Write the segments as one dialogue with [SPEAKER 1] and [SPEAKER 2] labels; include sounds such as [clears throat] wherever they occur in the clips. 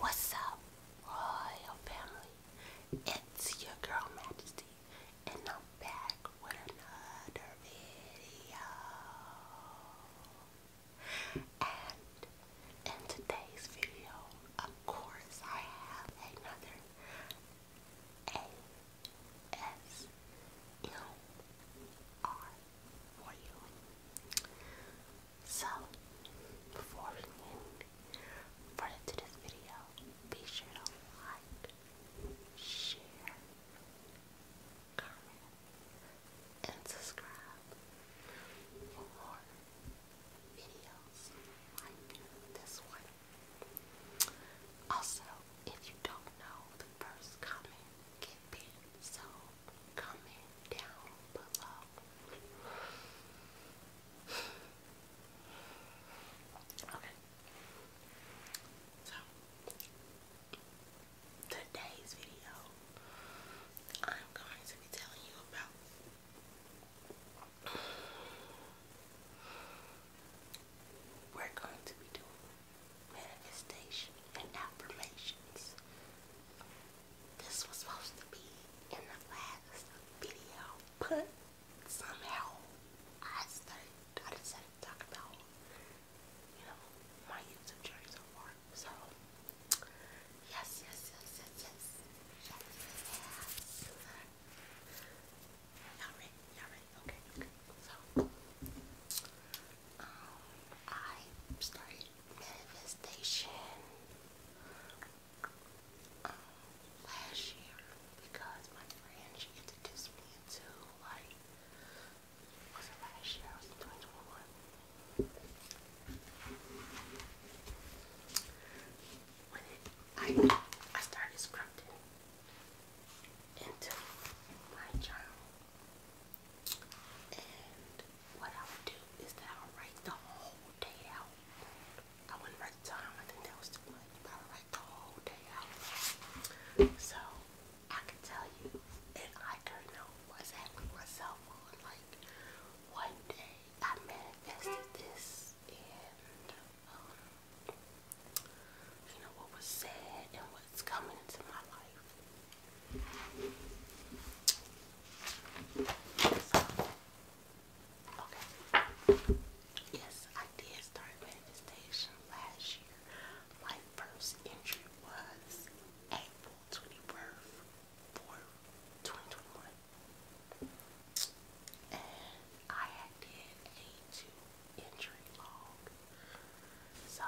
[SPEAKER 1] What's up, royal family? It's your girl Majesty, and I'm back with another video. And in today's video, of course, I have another ASMR So, before we move further this video, be sure to like, share, comment, and subscribe for more videos like this one. Also, if you don't know the first comment get pinned, so comment down below. [sighs] Okay. So today's video, I'm going to be telling you about. We're going to be doing manifestation and affirmations. This was supposed to be in the last video, but somehow I started, I about you know, my YouTube journey so far. So, yes, yes, yes, yes, yes. Yes, yes. Y'all ready? Y'all ready? Okay, okay. So, um, I started manifestation um, last year because my friend, she introduced me into, like, was it I, started scripting into my journal. And what I would do is that I would write the whole day out. I wouldn't write the time, I think that was too much, I would write the whole day out. So I can tell you, and I don't know exactly myself on like one day I manifested this and um, you know what was said and what's coming into my life. So, okay. Yes, I did start manifestation last year. My first entry was April 21st, 4, 2021. And I did a two entry log. So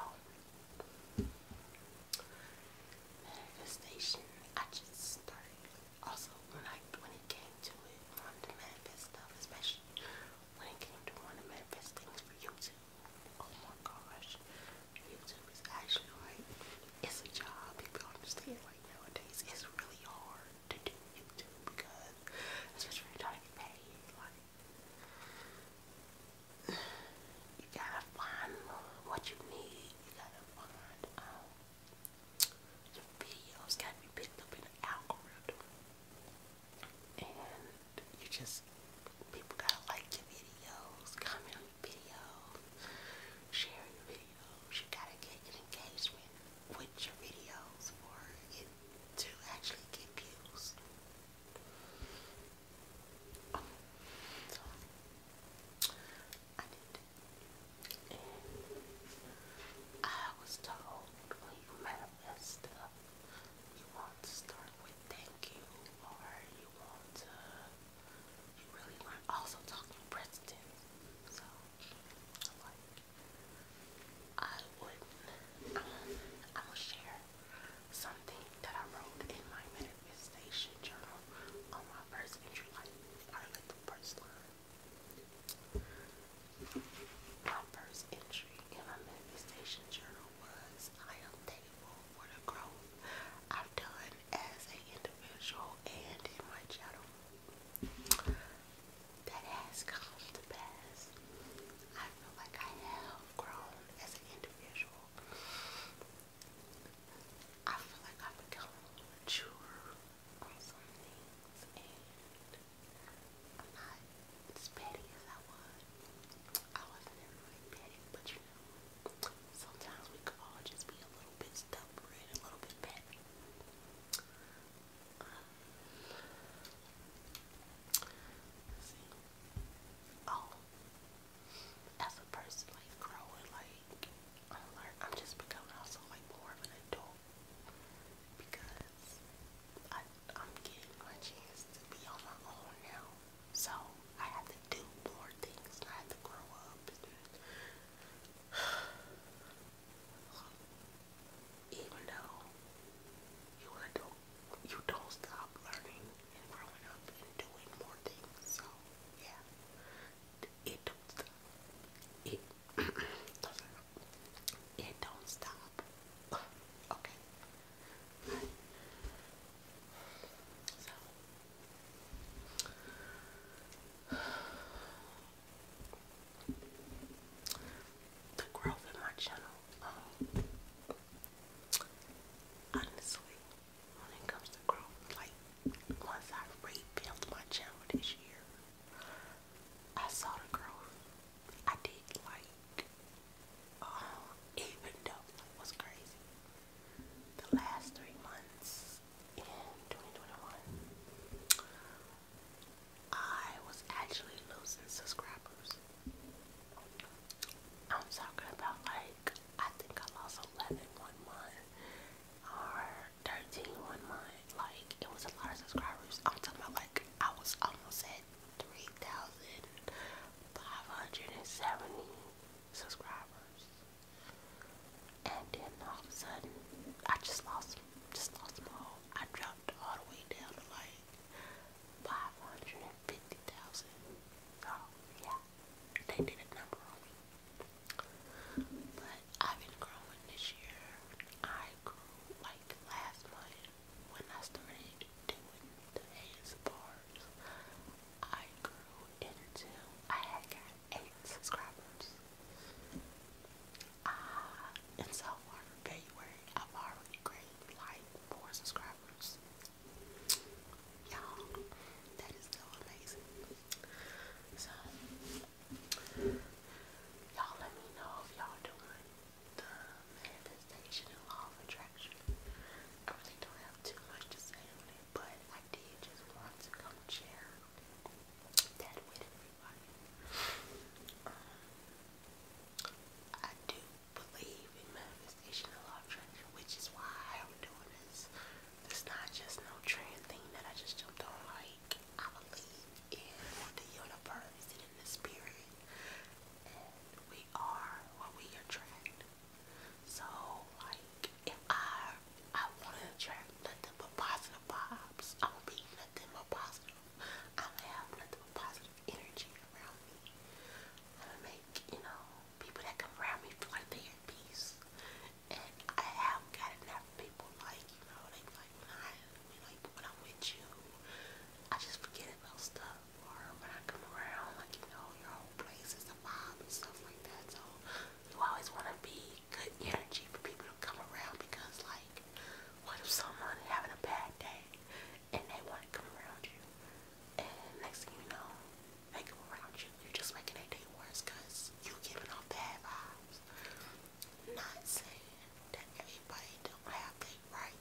[SPEAKER 1] manifestation I just started. Also when I when it came to it, wanted to manifest stuff, especially when it came to wanting to manifest things for YouTube. Oh my gosh. YouTube is actually like, it's a job. People don't understand like nowadays. It's really hard to do YouTube because it's just really trying to get paid. Like, you gotta find what you need. You gotta find, your videos gotta be picked up in the algorithm. And you just people gotta like your videos, comment on your videos, share your videos. You gotta get engagement with your videos for it to actually get views. I did and I was told when you manifest stuff, you will start with thank you or you want to you really learn also talking Princeton. So i would I'm share something that I wrote in my manifestation journal on my first entry like like the first line. My first entry in my manifestation journal was I am thankful for the growth I've done as an individual and in my channel. That has come to pass. I feel like I have grown as an individual. I feel like I've become mature on some things and i as petty as I was. I wasn't ever petty, but you know, sometimes we could all just be a little bit stubborn and a little bit petty. Uh, see. Oh, as a person, like growing, like I'm just becoming also like more of an adult because I I'm getting my chance to be on my own now. So I have to do more things. I have to grow up. [sighs] Even though you don't, you don't stop learning and growing up and doing more things. So yeah, it don't stop. It [clears throat] it don't stop. okay. So. [sighs] The growth in my channel, um, honestly, when it comes to growth, like once I rebuilt my channel this year, I saw the growth I did like, oh, even though it was crazy, the last three months in 2021, I was actually losing subscribers. I'm talking about like, I think I lost 11 month or 13 month. Like, it was a lot of subscribers. I'm talking about like, I was almost at 3,570 subscribers. And then all of a sudden, I just lost Just lost them all. I dropped all the way down to like 550,000. So, yeah. They did a number on me. But I've been growing this year. I grew like last month when I started doing the ASMRs, I grew into, I had got 8 subscribers. Uh, and so in February, I've already gained like 4 subscribers. Y'all, that is so amazing. So, y'all let me know if y'all doing the manifestation of attraction. I really don't have too much to say on it, but I did just want to share that with everybody. Um, I do believe in manifestation of attraction, which is why I'm doing this. It's not just no trend thing that I just jumped on. Like I believe in the universe and in the spirit we are what we attract. So like if I I wanna attract nothing but positive vibes, I will be nothing but positive. I'm gonna have nothing but positive energy around me. I'm gonna make, you know, people that come around me feel like they're at peace. And I have gotten that from people like, you know, they like when I you like when I'm with you, I just forget about stuff or when I come around, like, you know, your whole place is a vibe and stuff like that. So you always want to be good energy for people to come around because, like, what if someone having a bad day and they want to come around you? And next thing you know, they come around you. You're just making their day worse because you giving off bad vibes. Not saying that everybody don't have their right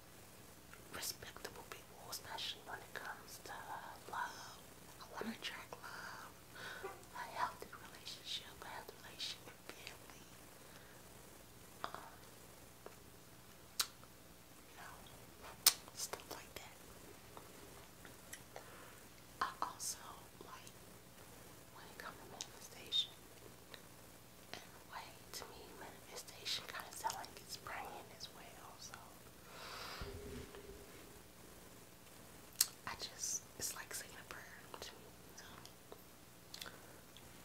[SPEAKER 1] respectable people, especially when it comes to uh, love. I want to attract love, a healthy relationship, a healthy relationship with family. Um, you know, stuff like that. I also like when it comes to manifestation in to me manifestation kind of sounds like it's praying as well so I just it's like saying a prayer to me so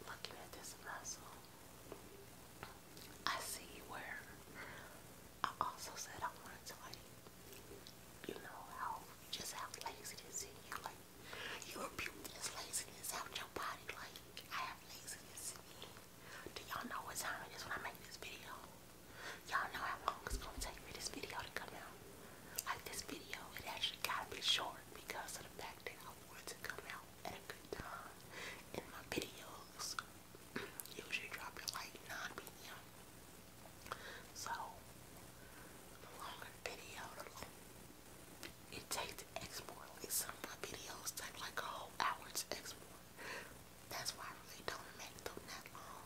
[SPEAKER 1] looking at this muscle I see where I also said I wanted to like you know how just how laziness in you like you rebuke this laziness out your body like I do y'all know what time it is when I make this video? Y'all know how long it's gonna take for this video to come out. Like this video, it actually gotta be short because of the fact that I want to come out at a good time. In my videos, [clears throat] usually drop at like 9 p.m. So, the longer video, it takes export. Like some of my videos take like a whole hour to export. That's why I really don't make them that long.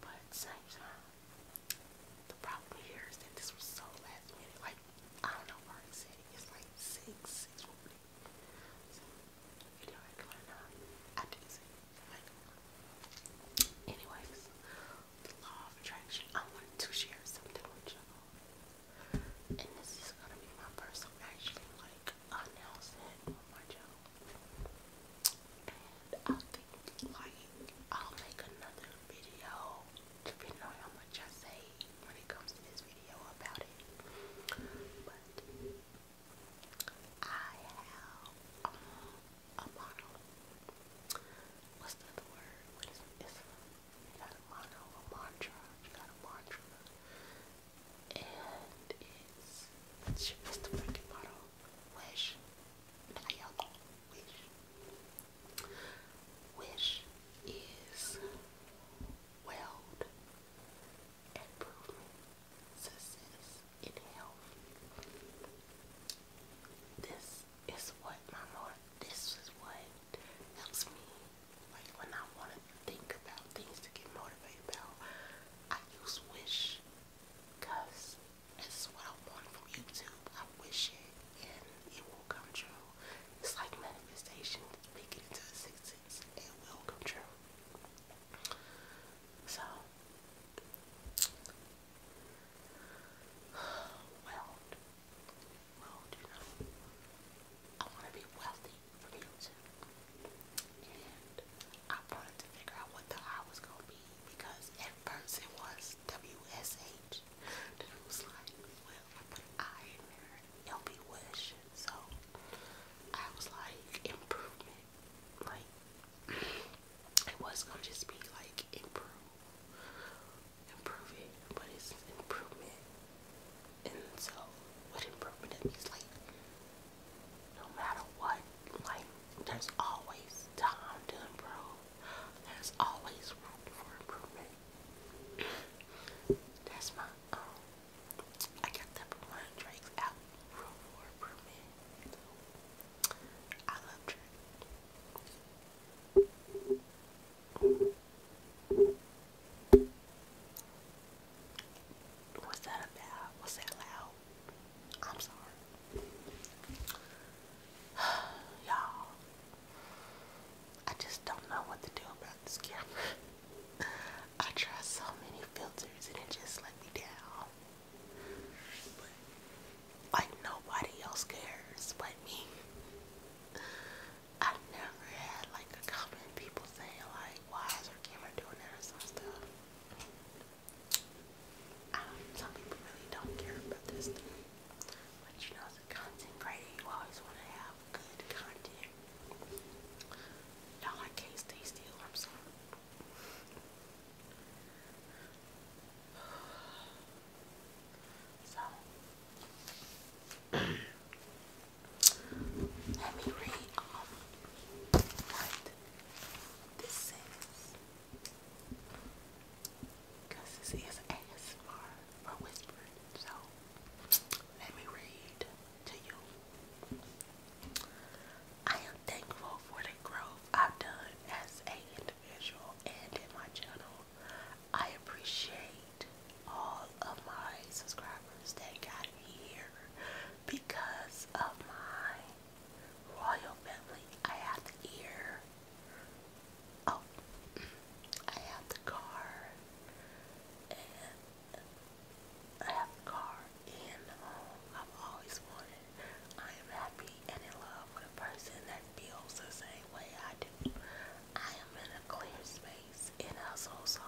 [SPEAKER 1] But same time, the problem here is that this was so last minute. Like, I don't know where it's at. It's like 6, 6 So, video actually I did see Anyways, the law of attraction. I wanted to share something with you and this is gonna be my first actually like announcing on my channel. And I think like I'll make another video depending on how much I say when it comes to this video about it. But I have um, a model. What's the word? What is you got a mantra, you got a mantra, and it's, it's, it's the freaking motto, wish, and I wish, wish is weld, improvement, success, in health. This is what my motto, this is what helps me. Like when I want to think about things to get motivated about, I use Wish because that's what I want from YouTube. I wish it and it will come true. It's like manifestation, speak it into existence, it will come true. So, [sighs] well, I want to be wealthy for YouTube. And I wanted to figure out what the R was going to be because at first it was WSH. Then it was like, well, I put an I in there, it So I was like, improvement. Like, it was going to just be like improve improve but it's improvement. And so, with improvement, means like, no matter what, like, there's always time to improve. There's always room for improvement. That's my, um, I got that from one Drake's album, Room for Improvement. I love Drake. Was that about? Was that loud? I'm sorry. [sighs] Y'all, I just don't know what to do about this camera. I tried so many filters and it just let me down. But, like, nobody else cares but me. I never had like a comment people saying like, why is her camera doing that or some stuff. some people really don't care about this stuff. But you know, as a content creator, you always want to have good content. you I can't stay still. I'm sorry. So [clears throat] let me read this says. Because this is ASMR for whispering. So let me read to you. I am thankful for the growth I've done as a individual and in my channel. I appreciate all of my subscribers that got me here because of my royal family. I have the ear. Oh, I have the car, and I have the car and the home I've always wanted. I am happy and in love with a person that feels the same way I do. I am in a clear space and hustle so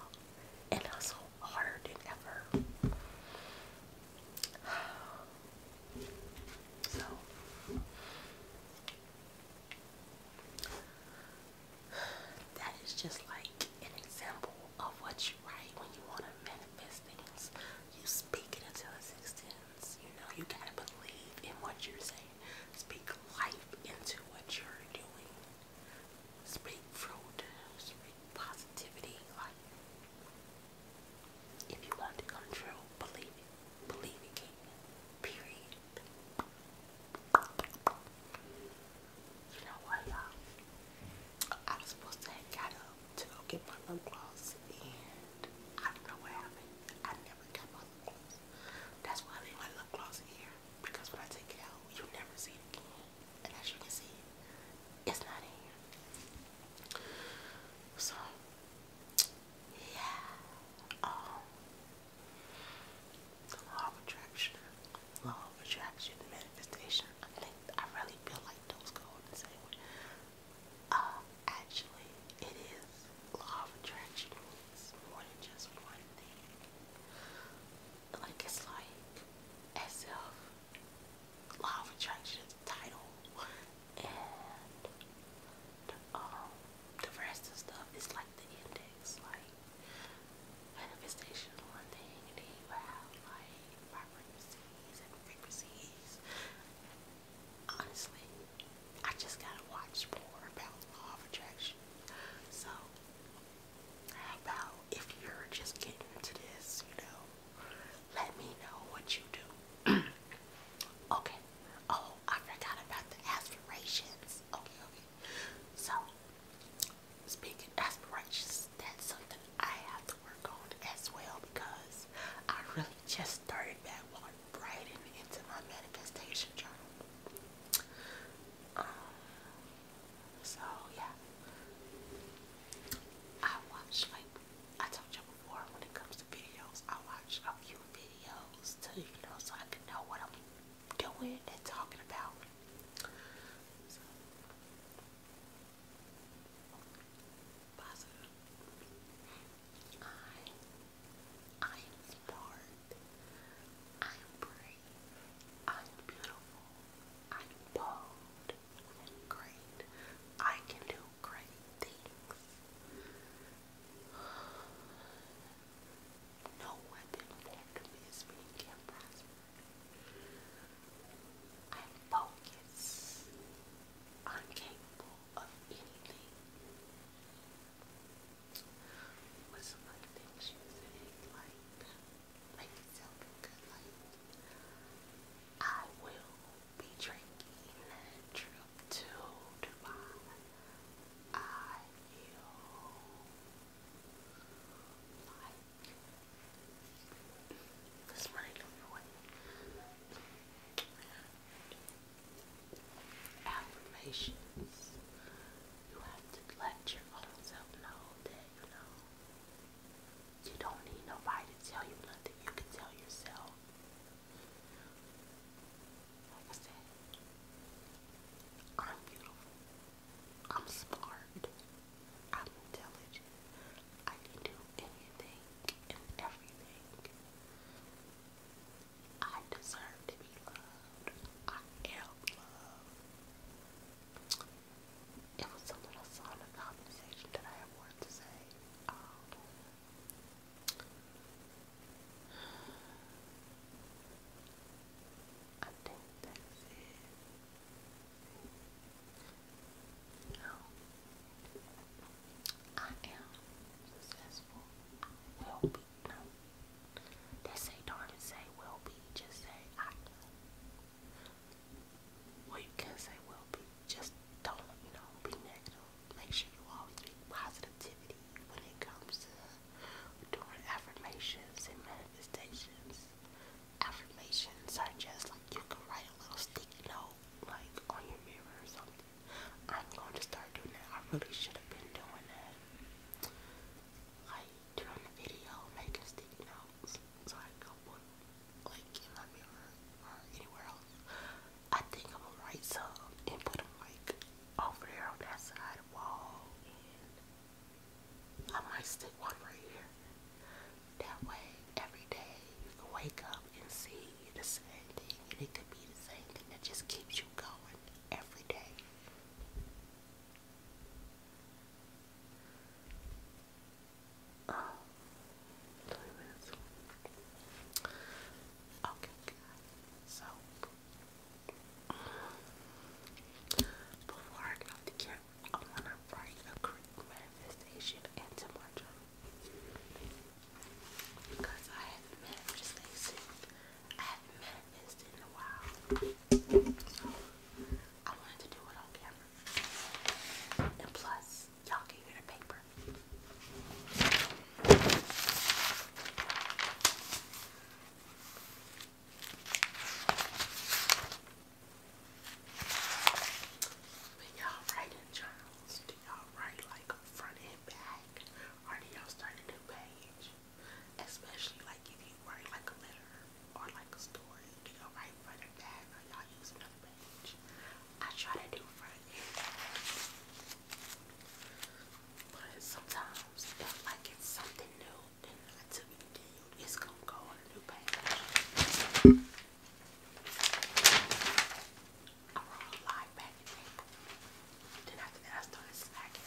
[SPEAKER 1] and hustle harder than ever. [sighs] So [sighs] that is just like an example of what you write when you want to manifest things. You speak it until it's extended. You know, you gotta believe in what you're saying. Speak life into what you're doing. Speak fruit. Speak positivity. Like, if you want to come true, believe it. Believe it, Period. You know what, y'all? I was supposed to have up to go get my lip gloss, and I don't know what happened. I never got my lip gloss. That's why I leave my lip gloss here because when I take it out, you never see it again. And as you can see, it's not in here. So, yeah. Um, the law of attraction, law of attraction, manifestation. I think I really feel like those go in the same way. Uh, actually, it is law of attraction. It's more than just one thing. Like it's like as if law of attraction is the title, and the, um the rest of stuff is like the index, like. Manifestation is one thing, and then you have like my frequencies and frequencies honestly, I just gotta watch more about law of attraction. So, how about if you're just getting into this, you know, let me know what you do. [clears throat] okay. Oh, I forgot about the aspirations. Okay, okay. So, speaking aspirations, that's something I have to work on as well because I really just started back on writing into my manifestation journal. Um, so yeah, I watch like I told you before when it comes to videos, I watch a few videos to you know so I can know what I'm doing and talking about. So, I'm smart. I'm brave. I'm beautiful. I'm bold. i great. I can do great things. No weapon formed against me I'm I'm capable of anything. What's some other things you say? Like, Like, I will be drinking a trip to Dubai. I will affirmations. You have to let your own self know that, you know, you don't need nobody to tell you nothing. You can tell yourself. Like I said, I'm beautiful. I'm smart. I'm intelligent. I can do anything and everything. I deserve to be loved. I am loved. It was a little solid conversation that I have wanted to say. Um, I think that's it. You I am successful. Will be. No. say darn it, say will be. Just say I Well, you can say will be. Just don't, you know, be negative. Make sure you always be positivity when it comes to doing affirmations and manifestations. Affirmations are just like you can write a little sticky note, like on your mirror or something. I'm going to start doing that. I really should have been doing that. Like during the video, making sticky notes so I go like in my mirror or anywhere else. I think I'm gonna write some and put them like over there on that side wall, I might stick one right here. That way, every day you can wake up and see the same thing, and it could be the same thing that just keeps you going every day. Um, okay, so before I get the camp, I want to write a quick manifestation into my journal. Because I haven't met I haven't met in a while. I wanted to do it on camera. And plus, y'all can hear the paper. But y'all writing journals, y'all write like front and back? Or y'all start a new page? Especially like if you write like a letter or like a story, y'all write front and back or y'all use another page? I try to do front and back. But sometimes if like it's something new and not to it's gonna go on a new page. I brought a live back in April. Then after that, I started slacking.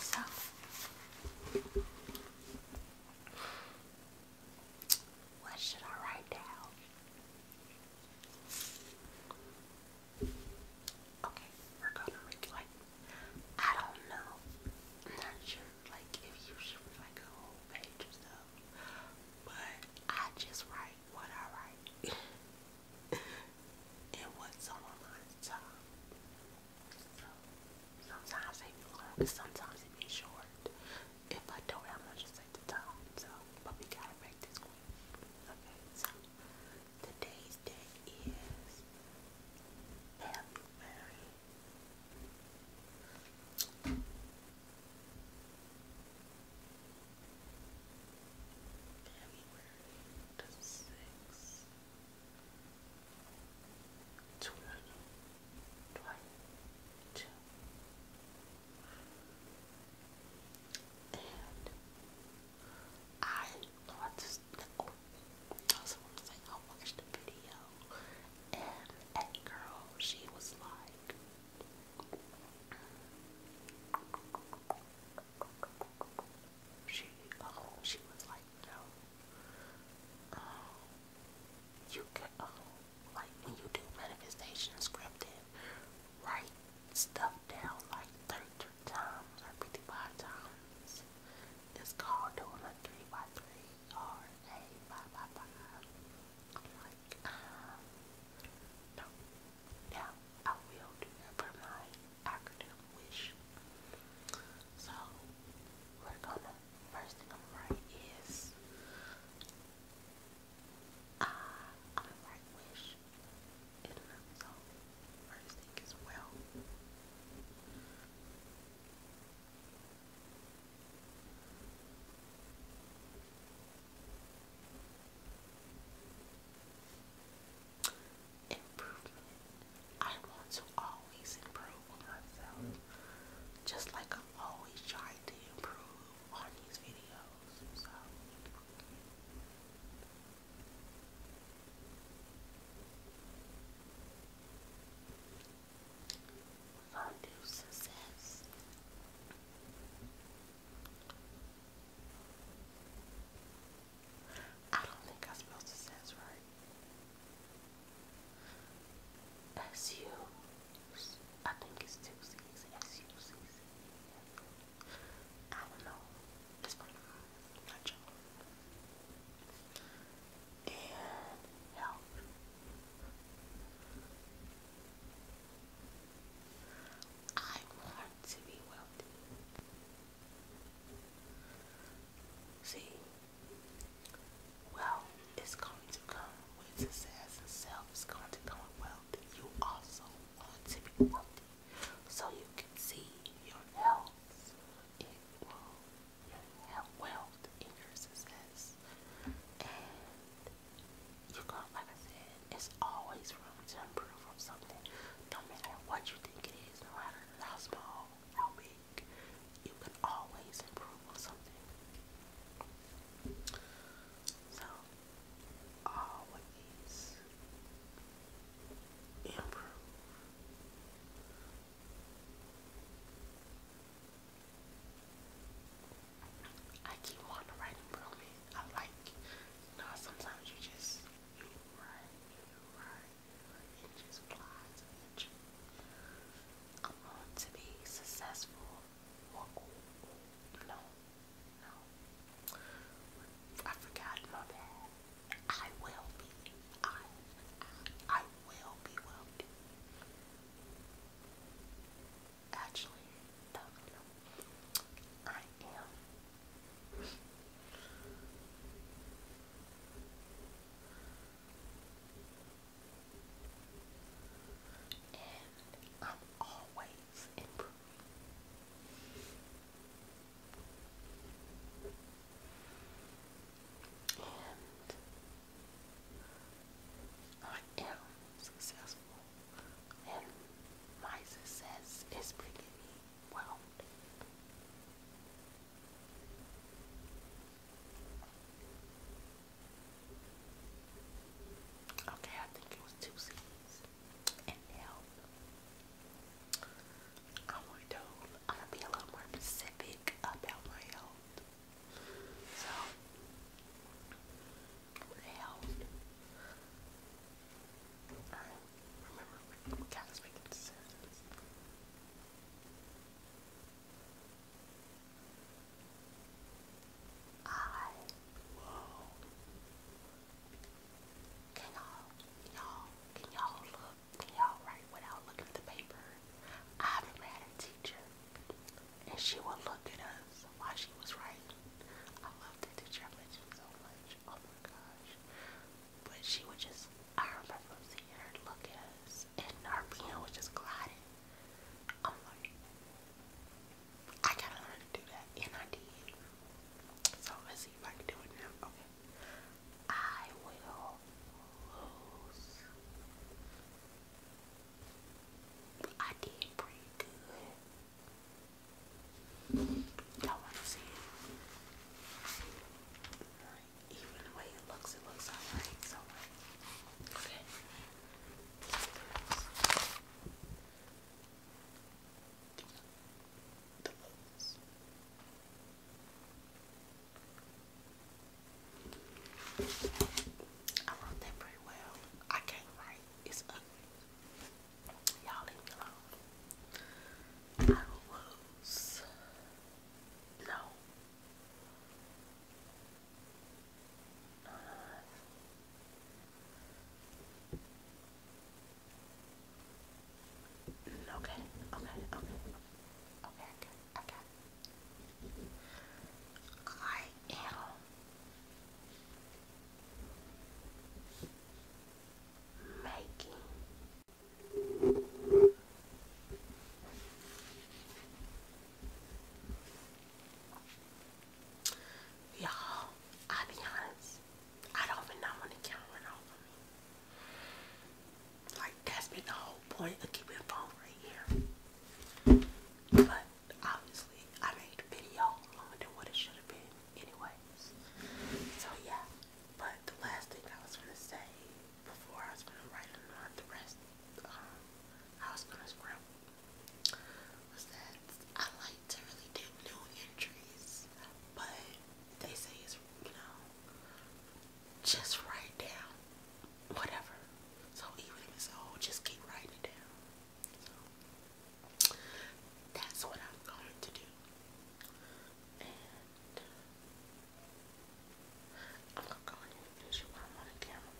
[SPEAKER 1] So what should I write down? Okay, we're gonna read like I don't know. I'm not sure like if you should read like a whole page or stuff. But I just write what I write. [laughs] and what's on my mind So sometimes it be long, sometimes it be short. If I don't, I'm gonna just take the time. So but we gotta make this quick. Okay, so Today's date is February February the sixth twenty twenty two and Oh, I watched the video, and that girl, she was like, she, oh, she was like, no, oh, you could, oh, um, like when you do manifestation scripted, write stuff down like 33 times or 55 times. It's called doing a 3 by 3 or a I'm like, um, no. I will do that wish. So, we're gonna, first thing I'm gonna write is, uh, I'm gonna write wish in and of itself. just as well. Improvement. I want to always improve myself. Just like I'm always trying to improve on these videos. So Fondue success. I don't think I spelled success right. S U. I think it's two C's. S U C C. I don't know. It's pretty my job. And help. I want to be wealthy. See, wealth is going to come with success and self going to come with You also want to be wealthy so you can see your health. It will have wealth in your success. And you're like I said, it's always room to improve on something. No matter what you think it is, no matter how small, how big, you can always improve on something. So always improve. I keep wanting to write I like, you sometimes you just, you write, you write, you just flies I want to be successful or, or, or, no. I forgot my bad. I will be. I, I, will be wealthy. Actually, I am. And I'm always is improving. And I am successful, and my success is bringing me wealth. Okay, I think it was two C's. And health. I want to, I'm gonna be a little more specific about my health. So, health. Alright, remember, we gotta speak in sentences. I can y'all, y'all, can y'all look? Can y'all write without looking at the paper? I have had a teacher, and she would look at us while she was writing. I loved that teacher. I you so much. Oh my gosh! But she would just. I remember seeing her look at and our piano was just gliding. I'm like, I gotta learn to do that, and I did. So let's see if I can do it now. Okay. I will lose. I did pretty good. Y'all wanna see it? Even the way it looks, it looks alright. okay the I wrote that pretty well. I can't write. It's ugly. Y'all leave me alone. I was no. Uh, Okay, okay, okay. Okay, okay, okay. I am making Y'all, I'll be honest. I don't even know when the camera went off Like that's been the whole point of keeping the phone right here. But obviously I made the video longer than what it should have been anyways. So yeah. But the last thing I was gonna say before I was gonna write on the rest um, I was gonna scramble was I like to really do new entries, but they say it's, you know, just write down whatever. So even if it's old, just keep writing it down. that's what I'm going to do. And uh, I'm gonna go ahead while I'm on camera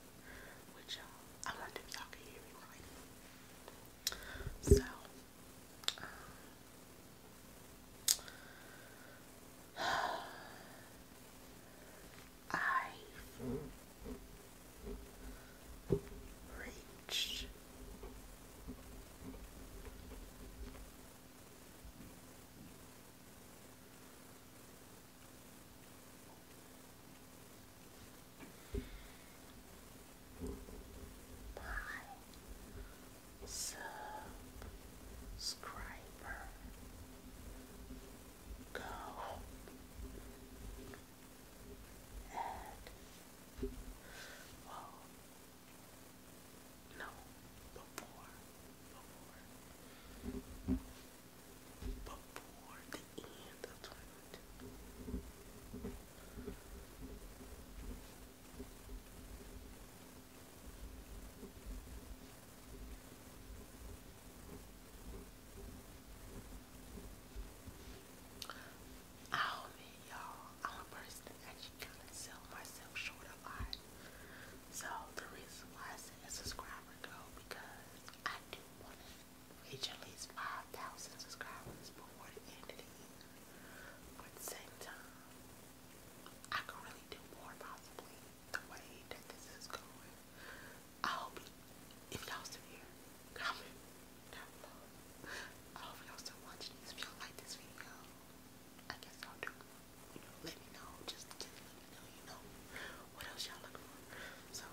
[SPEAKER 1] with y'all. I wonder if y'all can hear me right. So, um, i reached by subscriber go and well oh. no before before before the end of 20 I'll oh, y'all, I'm a person that actually kind of sell myself short a lot. So the reason why I said subscriber go because I do want reach at least 5,000 subscribers before the end of the year. But at the same time, I could really do more possibly the way that this is going. I hope if y'all still here, comment down below. I hope y'all still watching If y'all like this video, I guess I'll do. You know, let me know. Just, let me know, you know, what else y'all looking for. So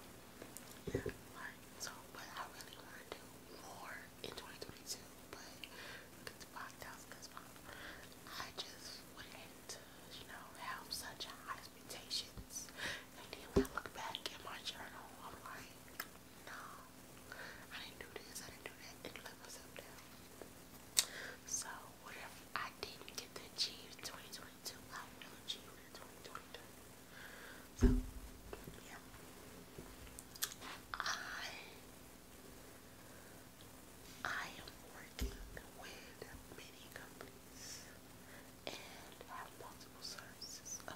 [SPEAKER 1] Right, so, but I really want to do more in 2022, but look at because I just wouldn't, you know, have such high expectations. And then when I look back at my journal, I'm like, no, I didn't do this, I didn't do that, and let myself down. So, whatever I didn't get to achieve 2022, I will achieve 2022. So, yeah. I I am working with many companies and have multiple sources of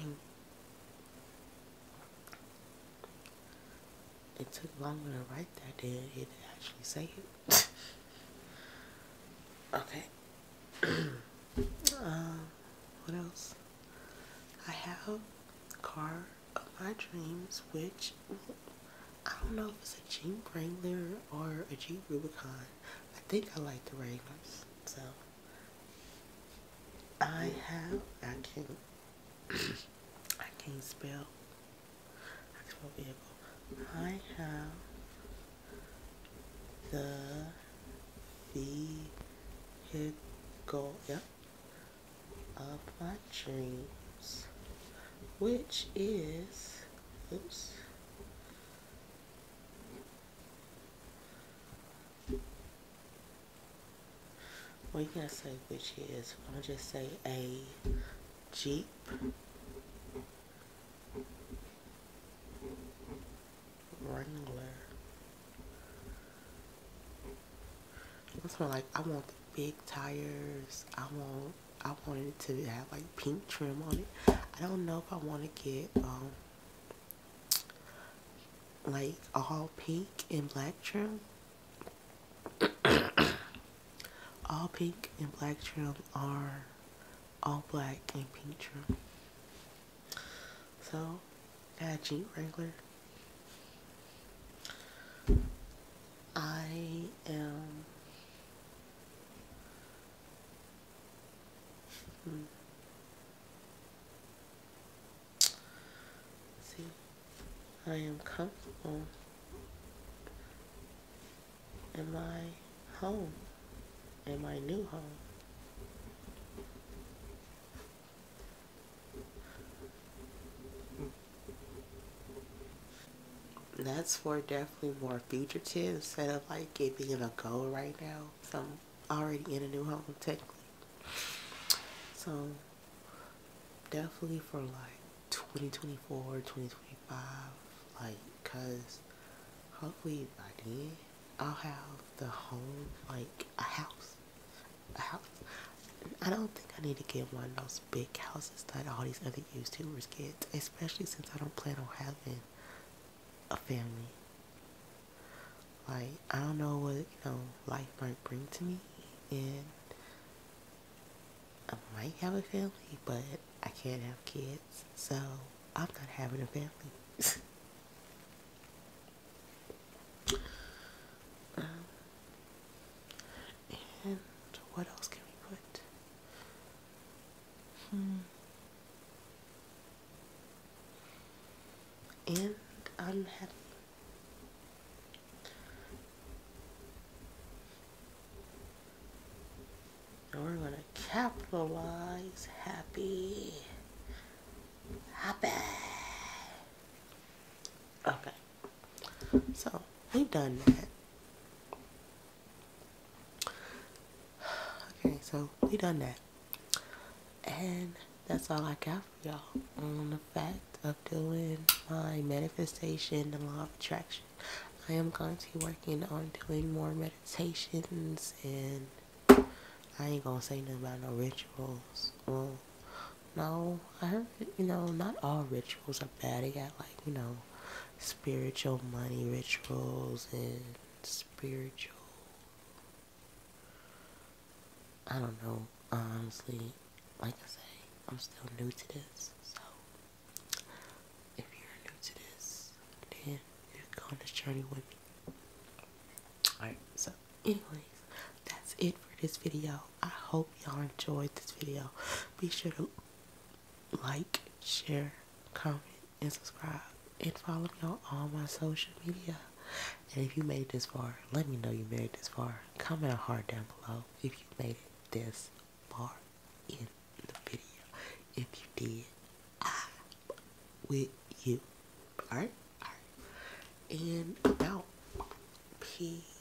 [SPEAKER 1] Dang. It took longer to write that than it actually say it. [laughs] okay. [clears throat] um, what else? I have Car of My Dreams, which I don't know if it's a Jeep Wrangler or a Jeep Rubicon. I think I like the Wranglers. So I have I can [coughs] I can spell I can spell vehicle. I have the vehicle yep of my dreams, which is, oops, well, you gotta say which is. i am gonna just say a Jeep. Wrangler. That's more like I want the big tires. I want I wanted it to have like pink trim on it. I don't know if I want to get um like all pink and black trim. [coughs] all pink and black trim are all black and pink trim. So got a Jeep Wrangler. I am Hmm. I am comfortable in my home, in my new home. That's for definitely more fugitive instead of like giving it a goal right now. So I'm already in a new home technically. So definitely for like 2024, 2025, like because hopefully by then I'll have the home, like a house, a house, I don't think I need to get one of those big houses that all these other YouTubers get, especially since I don't plan on having a family. Like, I don't know what, you know, life might bring to me, and I might have a family, but I can't have kids, so I'm not having a family. [laughs] Um, and what else can we put? Hmm. And I'm happy. we're going to capitalize happy. Happy. Okay. So we've done that. [sighs] Okay, so we done that. And that's all I got for y'all on the fact of doing my manifestation the law of attraction. I am going to be working on doing more meditations and I ain't gonna say nothing about no rituals no, I heard, you know, not all rituals are bad. They got like, you know, spiritual money rituals and spiritual. I don't know, honestly. Like I say, I'm still new to this, so if you're new to this, then you're going this journey with me. Alright, so anyways, that's it for this video i hope y'all enjoyed this video be sure to like share comment and subscribe and follow me on all my social media and if you made this far let me know you made it this far comment a heart down below if you made it this far in the video if you did i'm with you all right all right and about peace